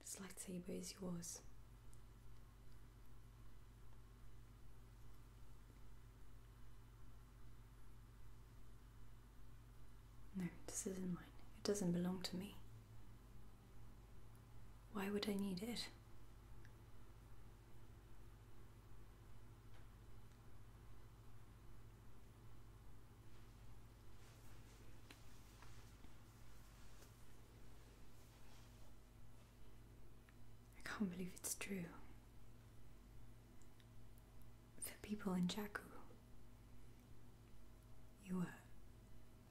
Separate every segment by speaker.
Speaker 1: This lightsaber is yours. No, this isn't mine. It doesn't belong to me. Why would I need it? I can't believe it's true. For people in Jaku, you were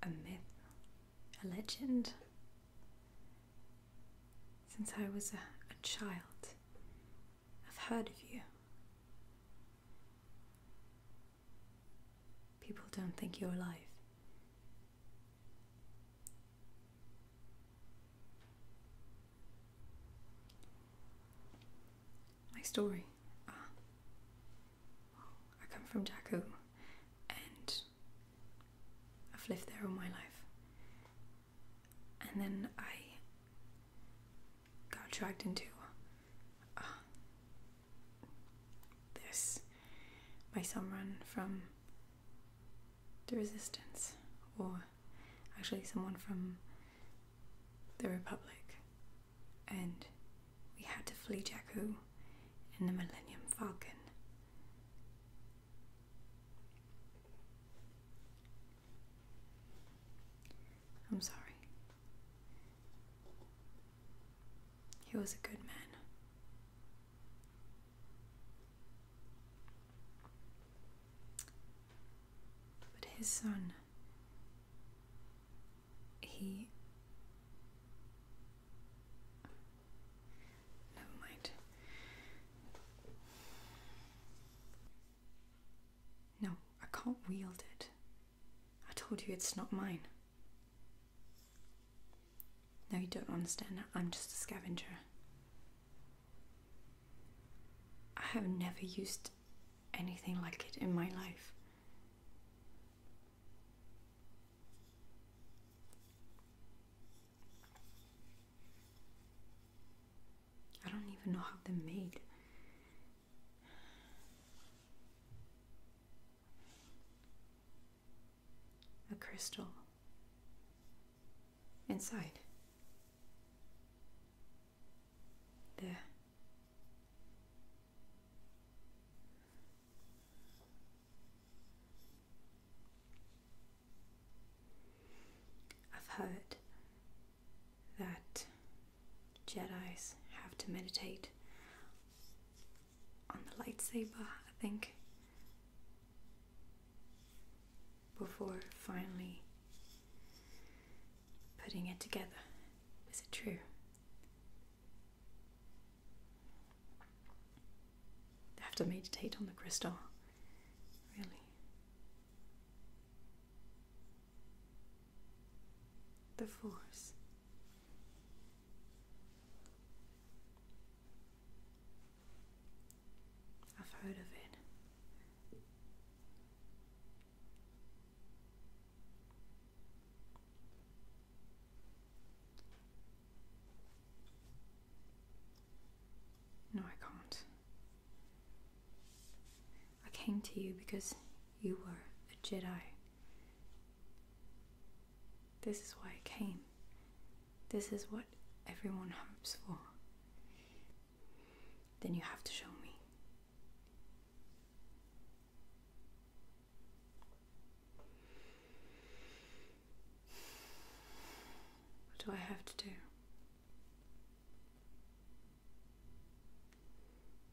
Speaker 1: a myth, a legend. Since I was a child, I've heard of you. People don't think you're alive. My story. Ah. I come from Jakku and I've lived there all my life. And then I got dragged into uh, this by someone from the resistance, or actually someone from the Republic, and we had to flee Jakku in the Millennium Falcon. I'm sorry. He was a good man. But his son, he. Never mind. No, I can't wield it. I told you it's not mine. No, you don't understand. I'm just a scavenger. I have never used anything like it in my life. I don't even know how they're made. A crystal inside. There. I've heard that Jedi's have to meditate on the lightsaber, I think, before finally putting it together. Is it true? They have to meditate on the crystal, really the force. I've heard of it. No, I can't. I came to you because you were a Jedi. This is why I came. This is what everyone hopes for. Then you have to show me. What do I have to do?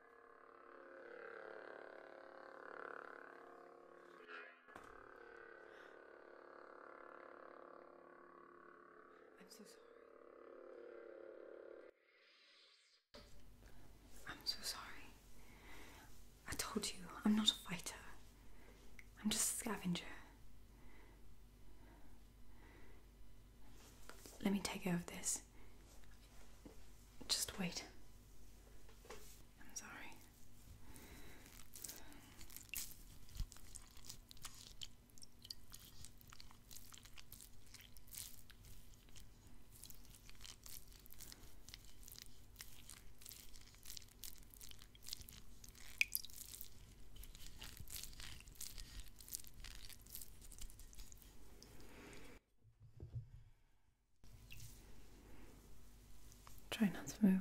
Speaker 1: I'm so sorry. I'm so sorry. I told you, I'm not a fighter. I'm just a scavenger. Let me take care of this. Just wait. I'm sorry. Try not to move.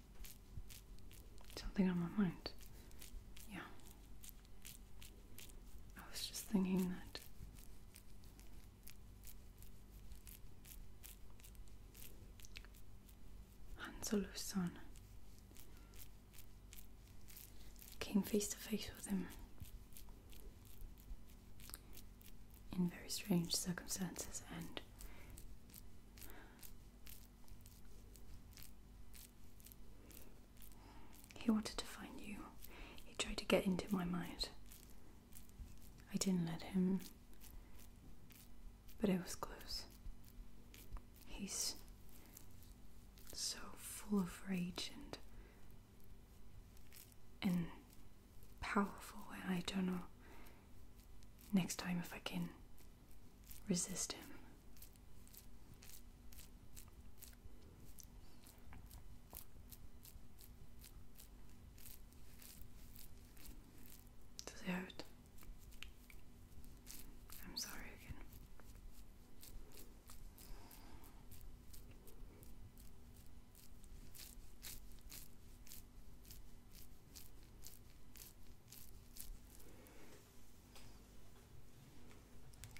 Speaker 1: Something on my mind. Yeah. I was just thinking that. Hanselo's son came face to face with him in very strange circumstances and he wanted to find you. He tried to get into my mind. I didn't let him, but it was close. He's so full of rage and and powerful and I don't know next time if I can resist him. Does I'm sorry again.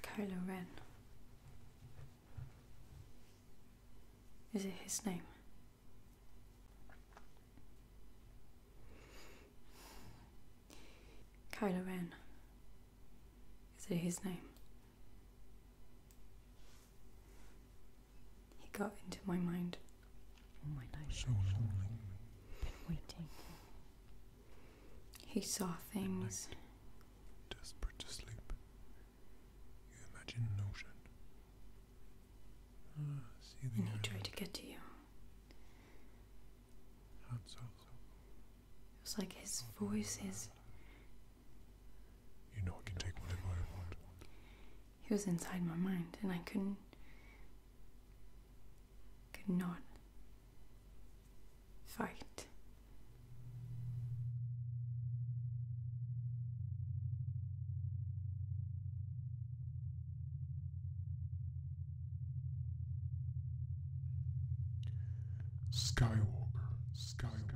Speaker 1: Kylo Ren. Is it his name? Kylo Ren. Is it his name? He got into my mind all
Speaker 2: oh my life. So lonely. Been waiting.
Speaker 1: He saw things.
Speaker 2: desperate to sleep. You imagine an ocean. Ah, see the and he tried to get to you. It
Speaker 1: was like his voice is. You know I can take whatever I want. He was inside my mind and I couldn't could not fight.
Speaker 2: Skywalker, Skywalker.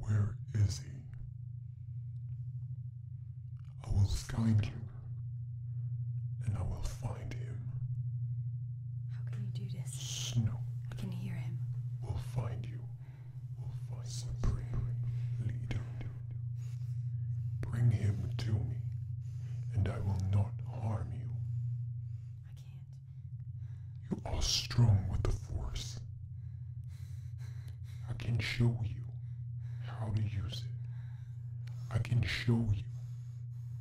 Speaker 2: Where is he? I will find you. And I will find him. How can you do this? Snow. I can hear him. We'll find you. We'll find Supreme Leader. Bring him to me, and I will not harm you. I can't. You are strong with the Force. I can show you how to use it. I can show you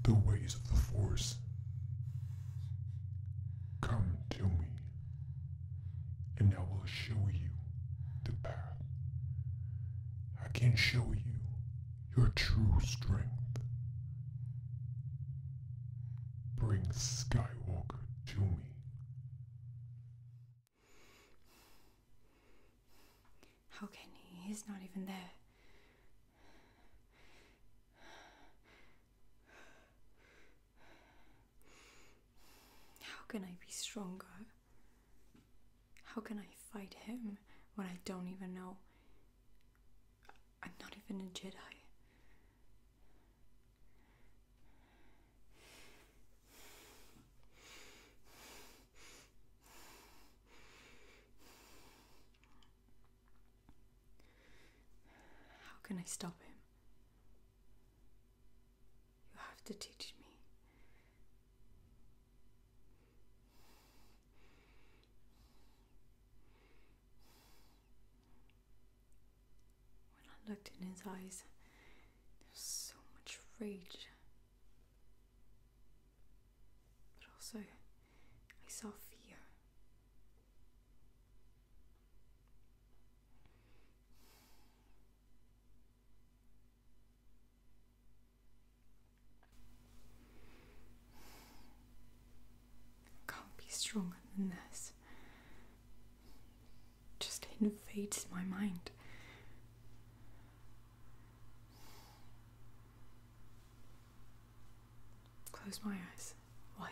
Speaker 2: the ways of the Force. Come to me, and I will show you the path. I can show you your true strength. Bring Skywalker to me.
Speaker 1: How can he? He's not even there. How can I be stronger? How can I fight him when I don't even know? I'm not even a Jedi. How can I stop him? You have to teach me. When I looked in his eyes, there was so much rage. But also, I saw fear. I can't be stronger than this just invades my mind. Close my eyes. Why?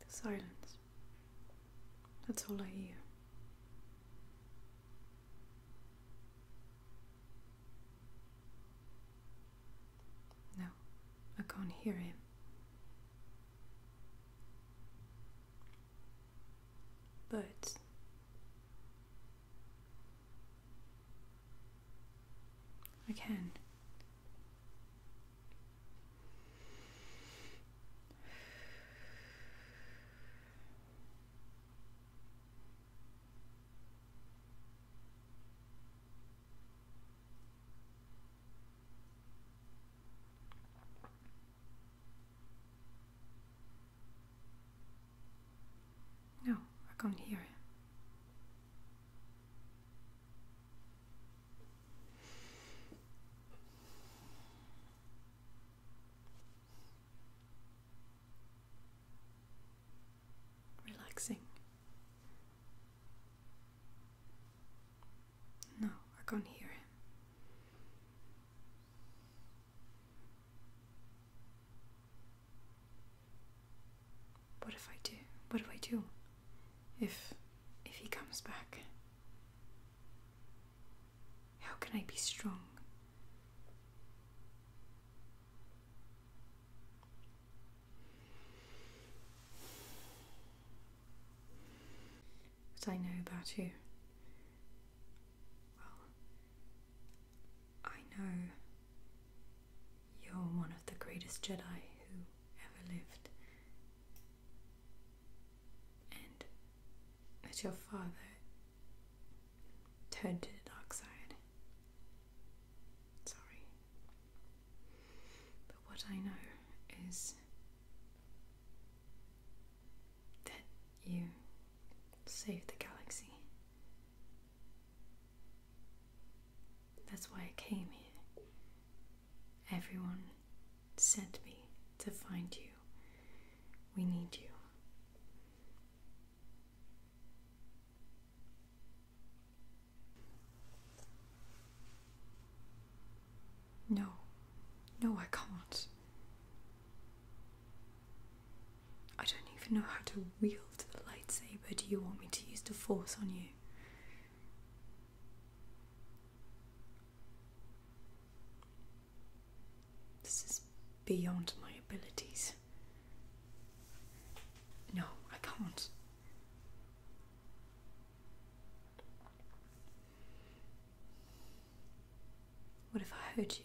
Speaker 1: The silence. That's all I hear. No, I can't hear him. But I can. No, I can't hear you relaxing. No, I can't hear him. What if I do? What if I do? If if he comes back? How can I be strong? What I know about you. Well, I know you're one of the greatest Jedi who ever lived. And that your father Turned to the dark side. Sorry. But what I know is that you saved the galaxy. That's why I came here. Everyone sent me to find you. We need you. No. No, I can't. I don't even know how to wield the lightsaber. Do you want me to use the force on you? This is beyond my abilities. No, I can't. What if I hurt you?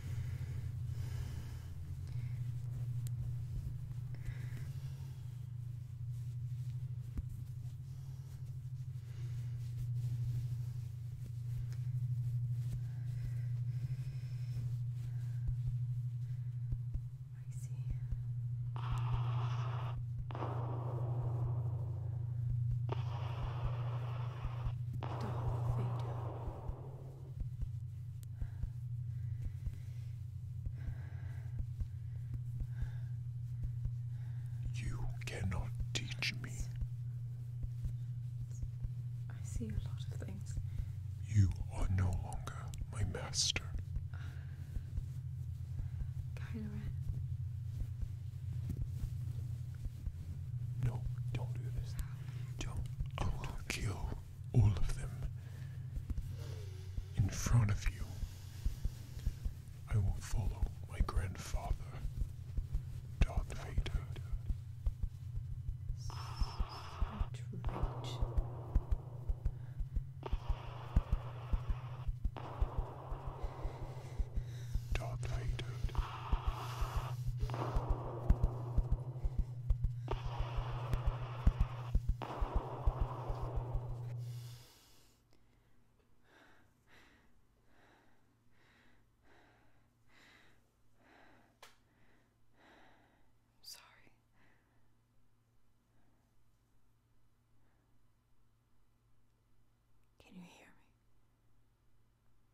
Speaker 2: Darth Vader. You cannot teach me.
Speaker 1: I see a lot of things.
Speaker 2: You are no longer my master. Kylo Ren. No, don't do this. Don't. I don't will oh, kill all of them in front of you. I will follow my grandfather, Darth Vader. Right, right. I'm
Speaker 1: Sorry. Can you hear me?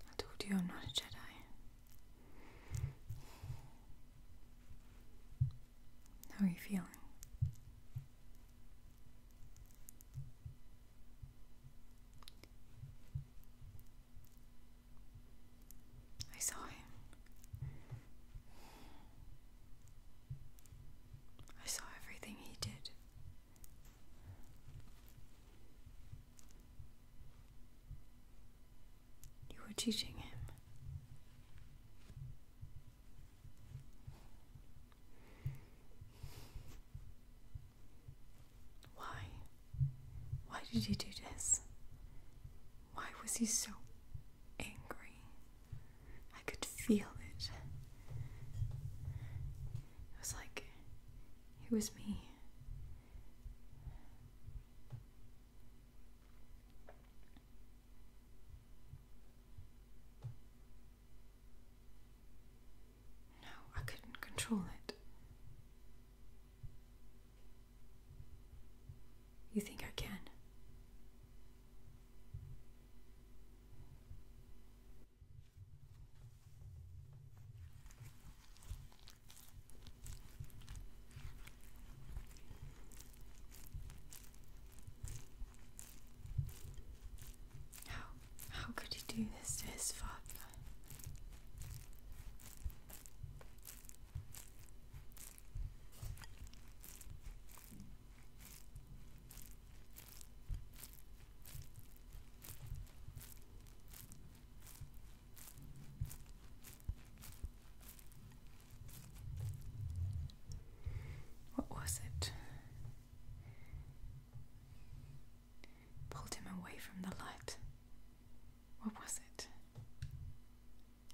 Speaker 1: I told you I'm not a Jedi. How are you feeling? I saw him. I saw everything he did. You were teaching him. Why? Why did he do this? Why was he so angry? I could feel it. It was like it was me. No, I couldn't control it. You think I can? How how could he do this to his father? What was it? Pulled him away from the light. What was it?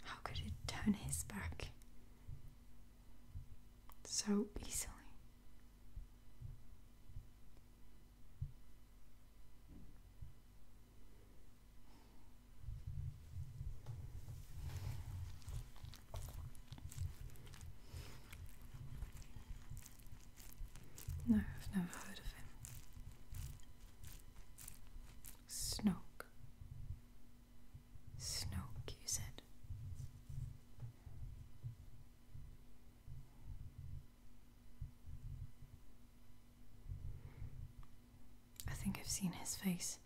Speaker 1: How could it turn his back so easily? No, I've never heard of him. Snoke. Snoke, you said. I think I've seen his face.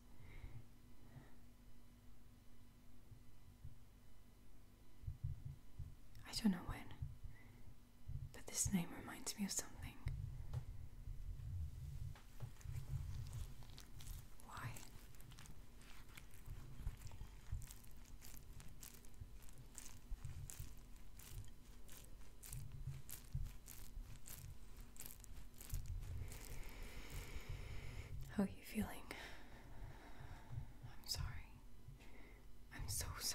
Speaker 1: I don't know when. But this name reminds me of something. Why? How are you feeling? I'm sorry. I'm so sorry.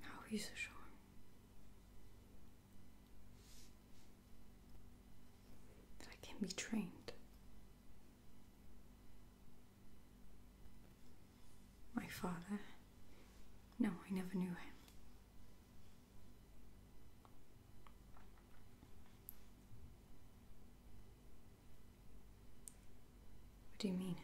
Speaker 1: How so strong? That I can be trained. My father? No, I never knew him. What do you mean?